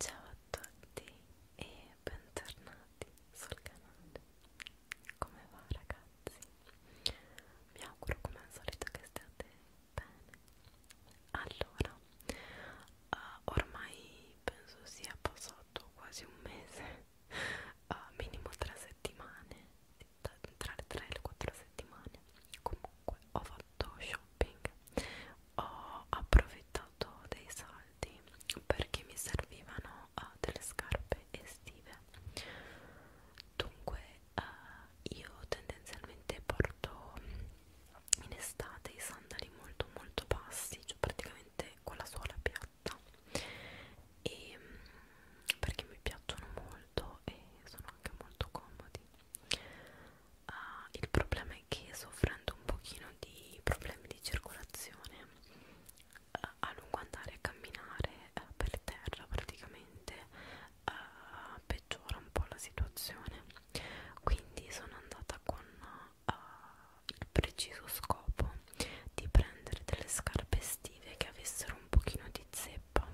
Ciao a tutti e bentornati sul canale. Come va ragazzi? Mi auguro come al solito che stiate bene. Allora, uh, ormai penso sia passato quasi un mese, uh, minimo tre settimane, tra le 3 e le 4 settimane. Comunque ho fatto fatto shopping ho approfittato dei saldi perché mi servivano uh, delle scarpe estive dunque uh, io tendenzialmente porto in estate i sandali molto molto bassi cioè praticamente con la suola piatta e mm, perché mi piacciono molto e sono anche molto comodi uh, il problema persone che soffrendo un pochino di problemi di circolazione eh, a lungo andare a camminare eh, per terra praticamente eh, peggiora un po' la situazione quindi sono andata con eh, il preciso scopo di prendere delle scarpe estive che avessero un pochino di zeppa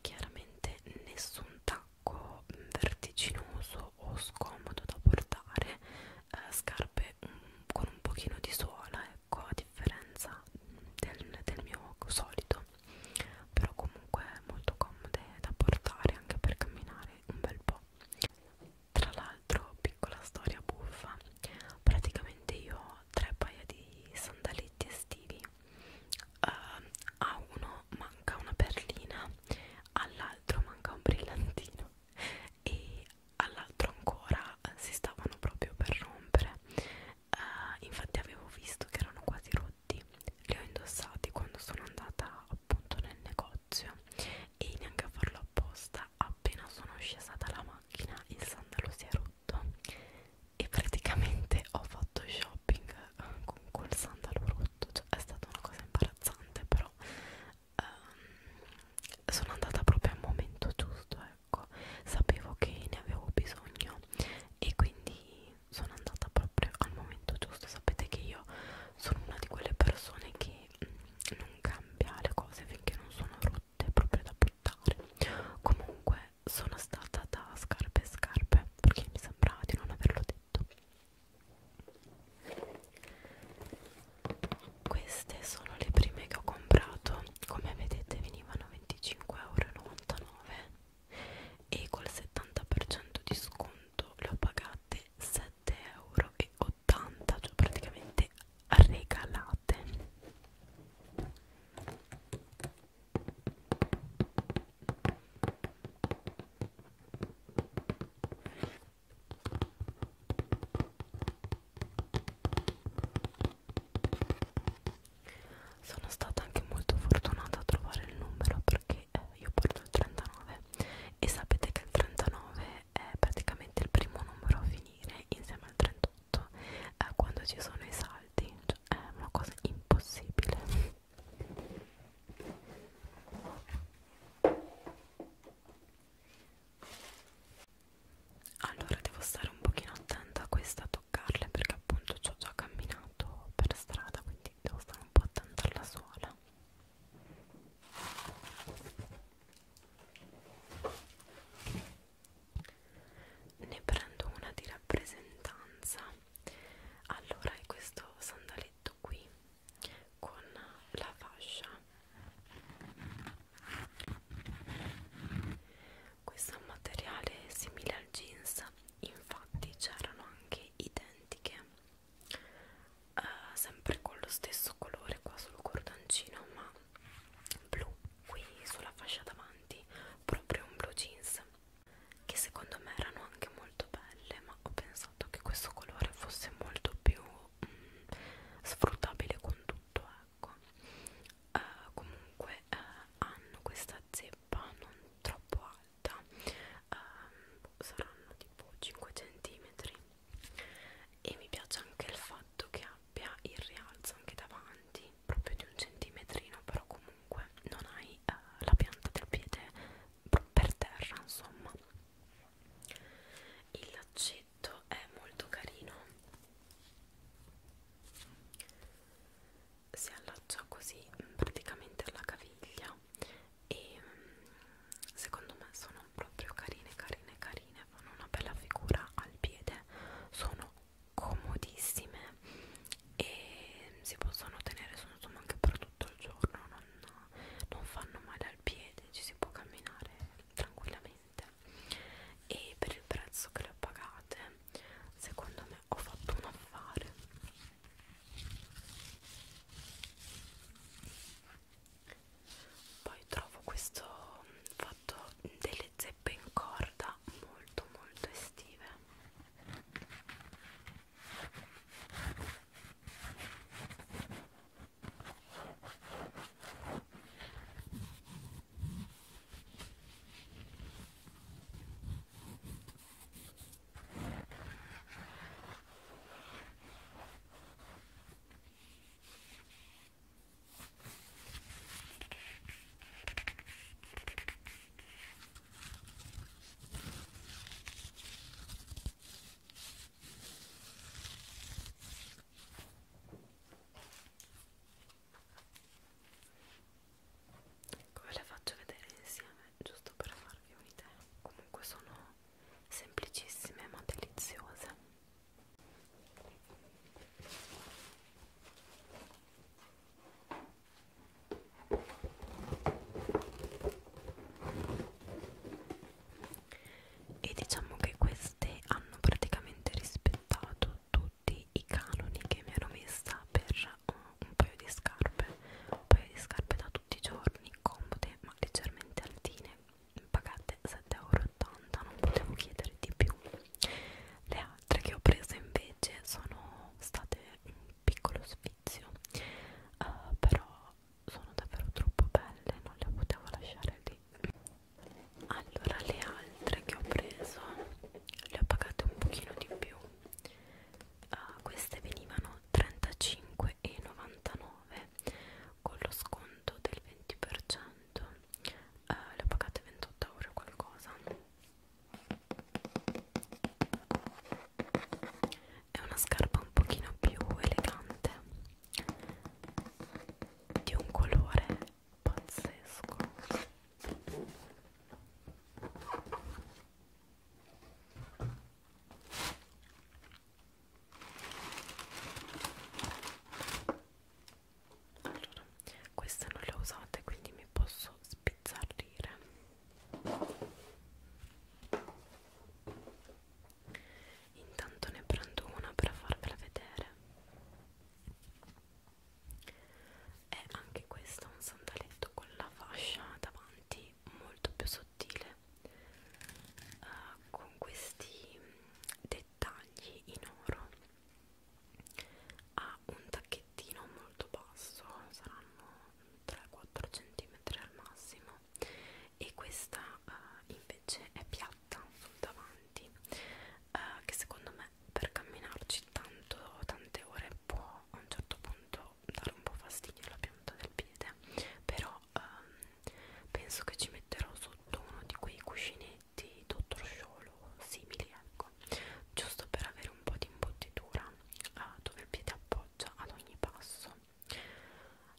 chiaramente nessun tacco tacco mm, vertiginoso o scomodo da portare eh, scarpe um, con un pochino di suola ecco a differenza del, del mio solito però comunque molto comode da portare anche per camminare un bel po' tra l'altro piccola storia buffa praticamente io ho tre paia di sandaletti estivi Uh, a uno manca una perlina, all'altro manca un brillantino e all'altro ancora si stavano proprio per rompere. Uh, infatti avevo visto che erano quasi rotti, li ho indossati quando sono andata appunto nel negozio e neanche a farlo apposta appena sono scesa dalla macchina il sandalo si è rotto e praticamente ho fatto shopping eh, con col sandalo rotto sotto cioè, è stata una cosa imbarazzante però ehm, sono andata proprio al momento giusto ecco sapevo che ne avevo bisogno e quindi sono andata proprio al momento giusto sapete che io sono una di quelle persone che mh, mm, non cambia le cose finché non sono rotte proprio da buttare comunque sono stata da scarpe e scarpe perché mi sembrava di non averlo detto queste sono le prime che ho comprato come vedete venivano 25,99€ e col 70% di sconto le ho pagate 7,80€ cioè praticamente regalate sono stata anche molto fortunata a trovare il numero perché eh, io porto il 39 e sapete che il 39 è praticamente il primo numero a finire insieme al 38 eh, quando ci sono i salti, cioè, è una cosa impossibile. Allora devo stare un pochino attenta a questa a toccarle perché appunto ci ho già camminato per strada quindi devo stare un po' attenta alla suola ne prendo una di rappresentanza allora è questo sandaletto qui con la fascia questo è un materiale simile al jeans infatti c'erano anche identiche uh, sempre con lo stesso colore qua sul cordoncino ma blu qui sulla fascia davanti proprio un blu jeans che secondo me erano anche molto belle ma ho pensato che questo colore fosse molto più mm, sfruttabile con tutto ecco uh, comunque uh, hanno questa zeppa non troppo alta uh, saranno tipo 5 cm e mi piace anche il fatto che abbia il rialzo anche davanti proprio di un centimetrino però comunque non hai eh, la pianta del piede per terra insomma il laccetto è molto carino si allaccia così mm, praticamente alla caviglia e mm, secondo me sono proprio carine carine carine fanno una bella figura al piede sono comodissime e si possono tenere su insomma anche per tutto il giorno non, non fanno male al piede ci si può camminare tranquillamente e per il prezzo che le ho pagate secondo me ho fatto un affare poi trovo questo fatto delle zeppe crepe in corda molto molto estive come le faccio vedere insieme, giusto per farvi un'idea. Comunque sono semplicissime ma deliziose e diciamo che queste hanno praticamente rispettato tutti i canoni che mi ero messa per un, un paio di scarpe un paio di scarpe da tutti i giorni comode ma leggermente altine pagate 7,80 euro non potevo chiedere di più le altre che ho preso invece sono state un piccolo sfizio uh, però sono davvero troppo belle non le potevo lasciare lì allora le altre che ho preso le ho pagate un pochino di più uh, queste venivano 35,99 con lo sconto del 20% quanto eh, le ho pagate 28 euro o qualcosa è una scarpa un pochino più elegante di un colore pazzesco allora queste non le ho usate quindi mi posso spizzarrire intanto ne prendo una per farvela vedere e anche questo è un sandaletto con la fascia davanti molto più sottile uh, con questi dettagli in oro ha un tacchettino molto basso saranno 3-4 cm al massimo e questa uh, invece è piatta sul davanti uh, che secondo me per camminarci tanto tante ore può a un certo punto dare un po' fastidio alla pianta del piede però um, penso che ci metterò sotto uno di quei cuscini insetti dottor sciolo simili ecco giusto per avere un po' di imbottitura ah, eh, dove il piede appoggia ad ogni passo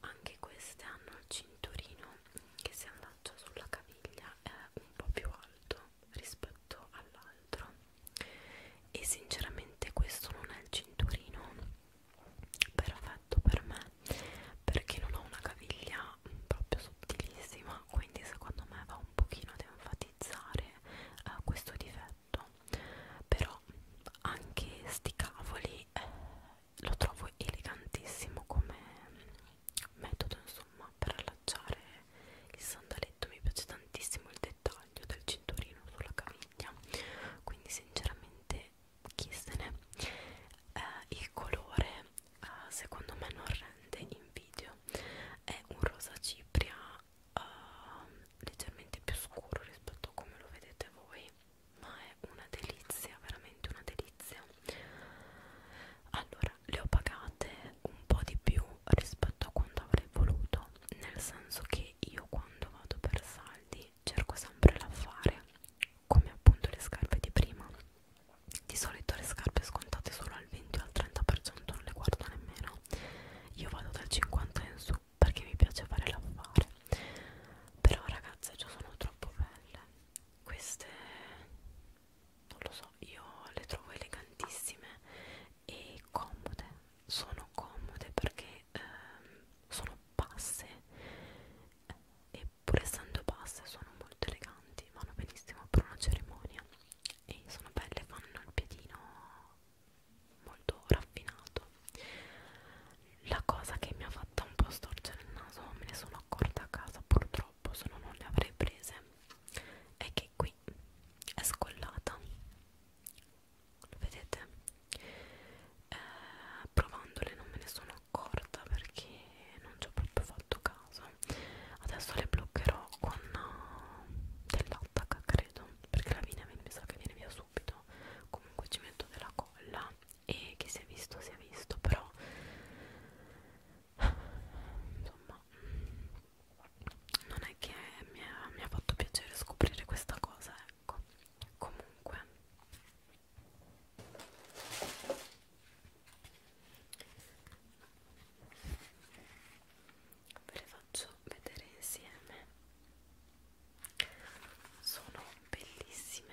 anche queste hanno il cinturino che si allaccia sulla caviglia è un po' più alto rispetto all'altro e sinceramente questo non è il cinturino perfetto per me perché non ho una caviglia proprio sottilissima quindi secondo me va un pochino ad enfatizzare eh, questo difetto però anche sti cavoli eh, lo trovo elegantissimo come metodo insomma per allacciare il sandaletto mi piace tantissimo il dettaglio del cinturino sulla caviglia quindi sinceramente chi se ne eh, il colore eh, secondo me non rende in video è un rosa cipria eh, leggermente più scuro rispetto a come lo vedete voi ma è una delizia veramente una delizia allora le ho pagate un po' di più rispetto a quanto avrei voluto nel senso che io quando vado per saldi cerco sempre l'affare come appunto le scarpe di prima di solito le scarpe scontate solo al 20 o al 30% non le guardo nemmeno io vado dal 50 in su perché mi piace fare l'affare però ragazze già sono troppo belle queste non lo so io le trovo elegantissime e comode sono comode perché ehm, sono basse e che pur essendo basse sono molto eleganti, vanno benissimo per una cerimonia e sono belle, fanno il piedino molto raffinato. La cosa che mi ha fatta un po' storcere il naso, me ne sono accorta a casa purtroppo, se no non le avrei prese, è che qui è scollata. Lo vedete? Eh, provandole non me ne sono sono accorta perché non ci ho proprio fatto caso adesso le bloccherò con uh, dell'attacca credo perché la linea mi sa che viene via subito comunque ci metto della colla e chi si è visto si è visto però insomma non è che mi ha, mi ha fatto piacere scoprire questa cosa ecco comunque ve le faccio vedere insieme sono bellissime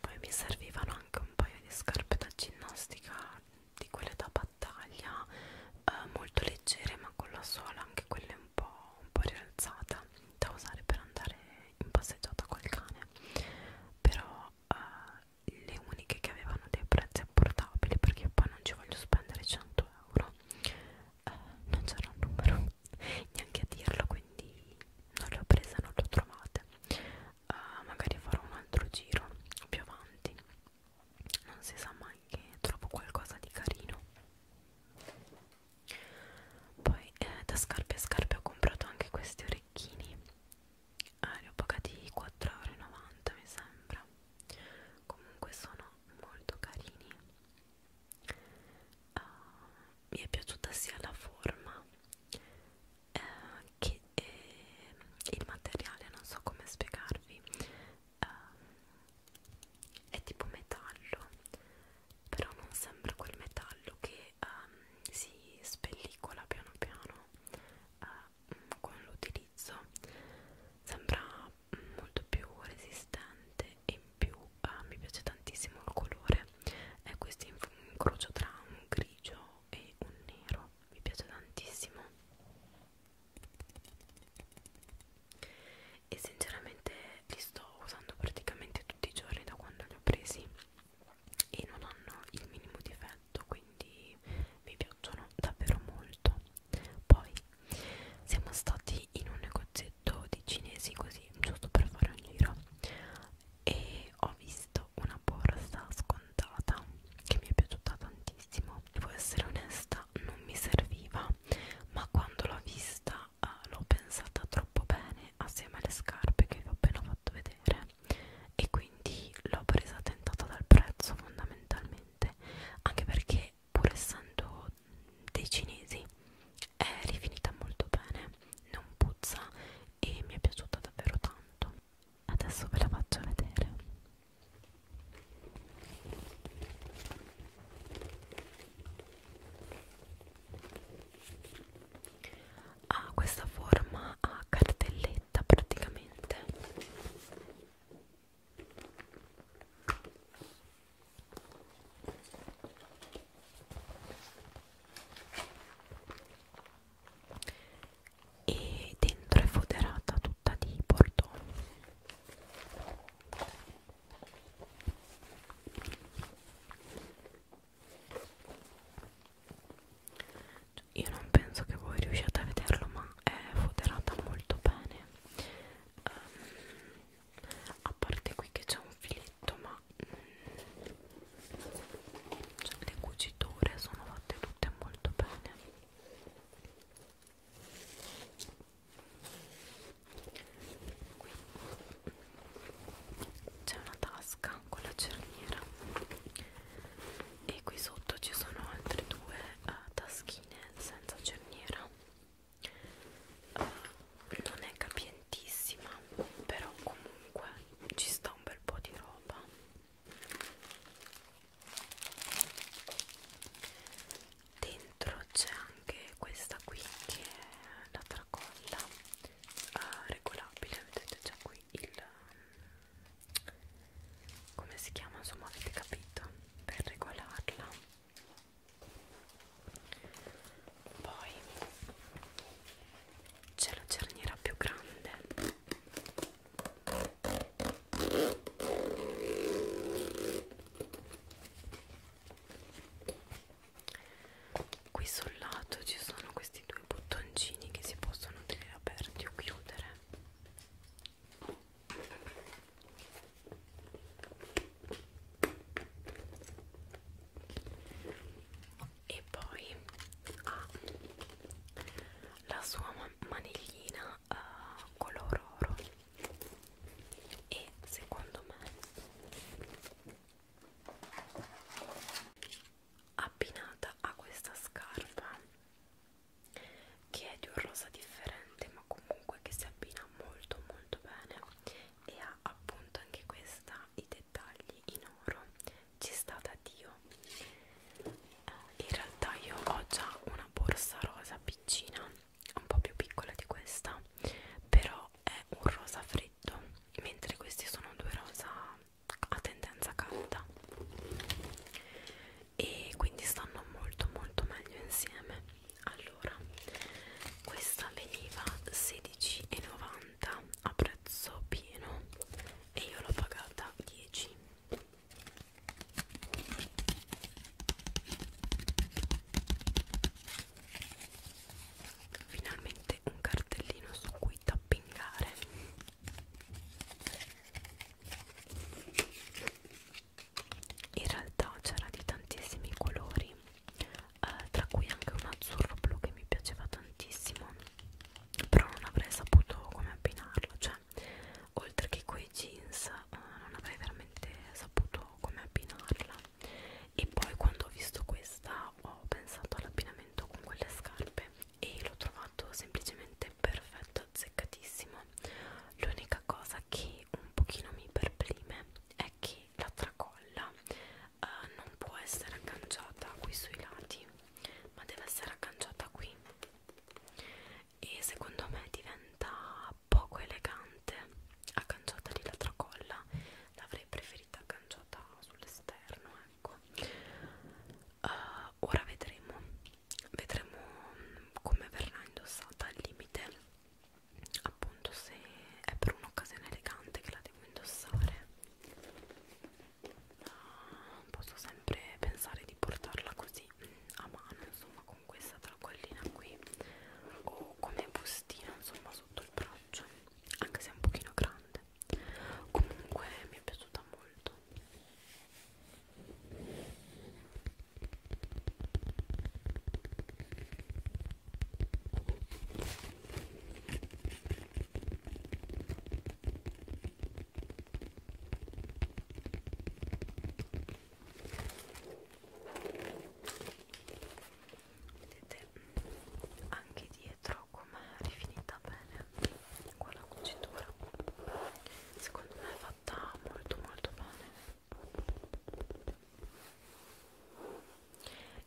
Poi mi servivano anche un paio di scarpe da ginnastica di quelle da battaglia eh, molto leggere ma con la sola anche quelle un po', un po' rialzata da usare per andare in passeggiata col cane però eh, le uniche che avevano dei prezzi apportabili perché poi non ci voglio spendere 100 euro eh, non c'era un numero neanche a dirlo quindi non le ho prese non le ho trovate eh, magari farò un altro giro più avanti non si sa mai che trovo qualcosa di carino poi eh, da scarpe a scarpe ho comprato anche questi orecchini eh, li ho pagati 4,90 euro mi sembra comunque sono molto carini uh, mi è piaciuta sia la forma eh, che eh, il materiale non so come spiegarvi um, è tipo metallo però non sembra quel metallo che um, si spellicola piano piano uh, con l'utilizzo sembra mm, molto più resistente e in più uh, mi piace tantissimo il colore è questo incrocio tra un grigio e un nero mi piace tantissimo e sinceramente li sto usando praticamente tutti i giorni da quando li ho presi e non hanno il minimo difetto quindi mi piacciono davvero molto poi siamo stati in un negozietto di cinesi così giusto per fare un giro e ho visto regalato una borsa scontata che mi è piaciuta tantissimo devo essere onesta non mi serviva ma quando l'ho vista uh, l'ho pensata troppo bene assieme alle scarpe che vi ho appena fatto vedere e quindi l'ho presa tentata dal prezzo fondamentalmente anche perché pur essendo dei cinesi è rifinita molto bene non puzza e mi è piaciuta davvero tanto adesso ve la faccio vedere ha questa forma a cartelletta praticamente e dentro è foderata tutta di portone io non penso che voi riusciate a vederlo ma è foderata molto bene um, a parte qui che c'è un filetto ma mm, cioè, le cuciture sono fatte tutte molto bene qui c'è una tasca con la cerniera e qui sotto ci sono altre due uh, taschine senza cerniera uh, non è capientissima però comunque ci sta un bel po' di roba dentro c'è anche questa qui che è la tracolla uh, regolabile vedete c'è qui il come si chiama insomma avete capito per regolarla poi c'è la cerniera più grande qui sul lato ci sono questi due bottoncini che si possono tenere aperti o chiudere e poi ha la sua maniglina uh, color oro e secondo me abbinata a questa scarpa che è di un rosa differente ma comunque che si abbina molto molto bene e ha appunto anche questa i dettagli in oro ci sta da Dio. Eh, in realtà io ho già una borsa rosa piccina, un po' più piccola di questa, però è un rosa freddo, mentre questi sono due rosa a tendenza calda e quindi stanno molto molto meglio insieme. Allora, questa veniva 16,90 90 a prezzo pieno e io l'ho pagata 10 finalmente un cartellino su cui tappingare in realtà c'era di tantissimi colori eh, tra cui anche un azzurro blu che mi piaceva tantissimo però non avrei saputo come abbinarlo cioè oltre che quei jeans eh, non avrei veramente saputo come abbinarla e poi quando ho visto questa ho pensato all'abbinamento con quelle scarpe e l'ho trovato semplicemente perfetto azzeccatissimo l'unica cosa che un pochino mi perprime è che quindi la tracolla eh, non può essere agganciata qui sui lati ma deve essere agganciata qui e secondo me diventa poco elegante agganciata lì la tracolla l'avrei preferita agganciata sull'esterno ecco uh, ora vedremo vedremo mm, come verrà indossata al limite appunto se è per un'occasione elegante che la devo indossare posso sempre pensare di portarla così a mano insomma con questa tracollina qui o come bustina insomma sotto il braccio anche se è un pochino grande comunque mi è piaciuta molto vedete anche dietro come è rifinita bene con la cucitura secondo me è fatta molto molto bene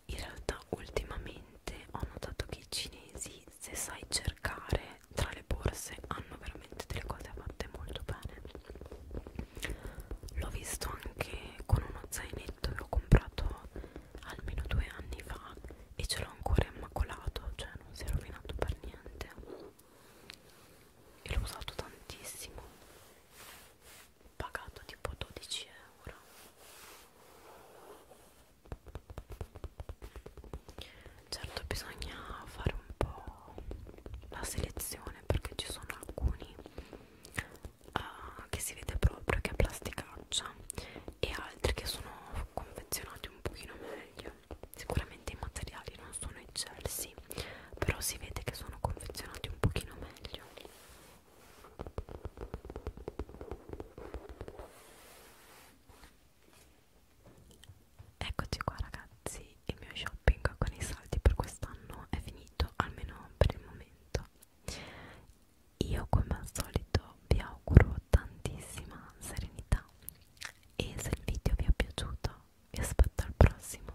in realtà ultimamente ho notato che i cinesi se sai cercare tra le borse hanno veramente delle cose fatte molto bene l'ho visto anche con uno zainetto che ho comprato almeno due anni fa e ce l'ho ancora immacolato cioè non si è rovinato per niente e l'ho usato tantissimo pagato tipo 12 euro certo bisogna fare un po' la selezione perché ci sono alcuni uh, che si vede proprio che è plasticaccia e altri che sono confezionati un pochino meglio sicuramente i materiali non sono eccelsi però si vede che sono confezionati un pochino meglio Eccoci qua ragazzi, il mio shopping con i saldi per quest'anno è finito, almeno per il momento. Io come al solito vi auguro tantissima serenità e se il video vi è piaciuto vi aspetto al prossimo.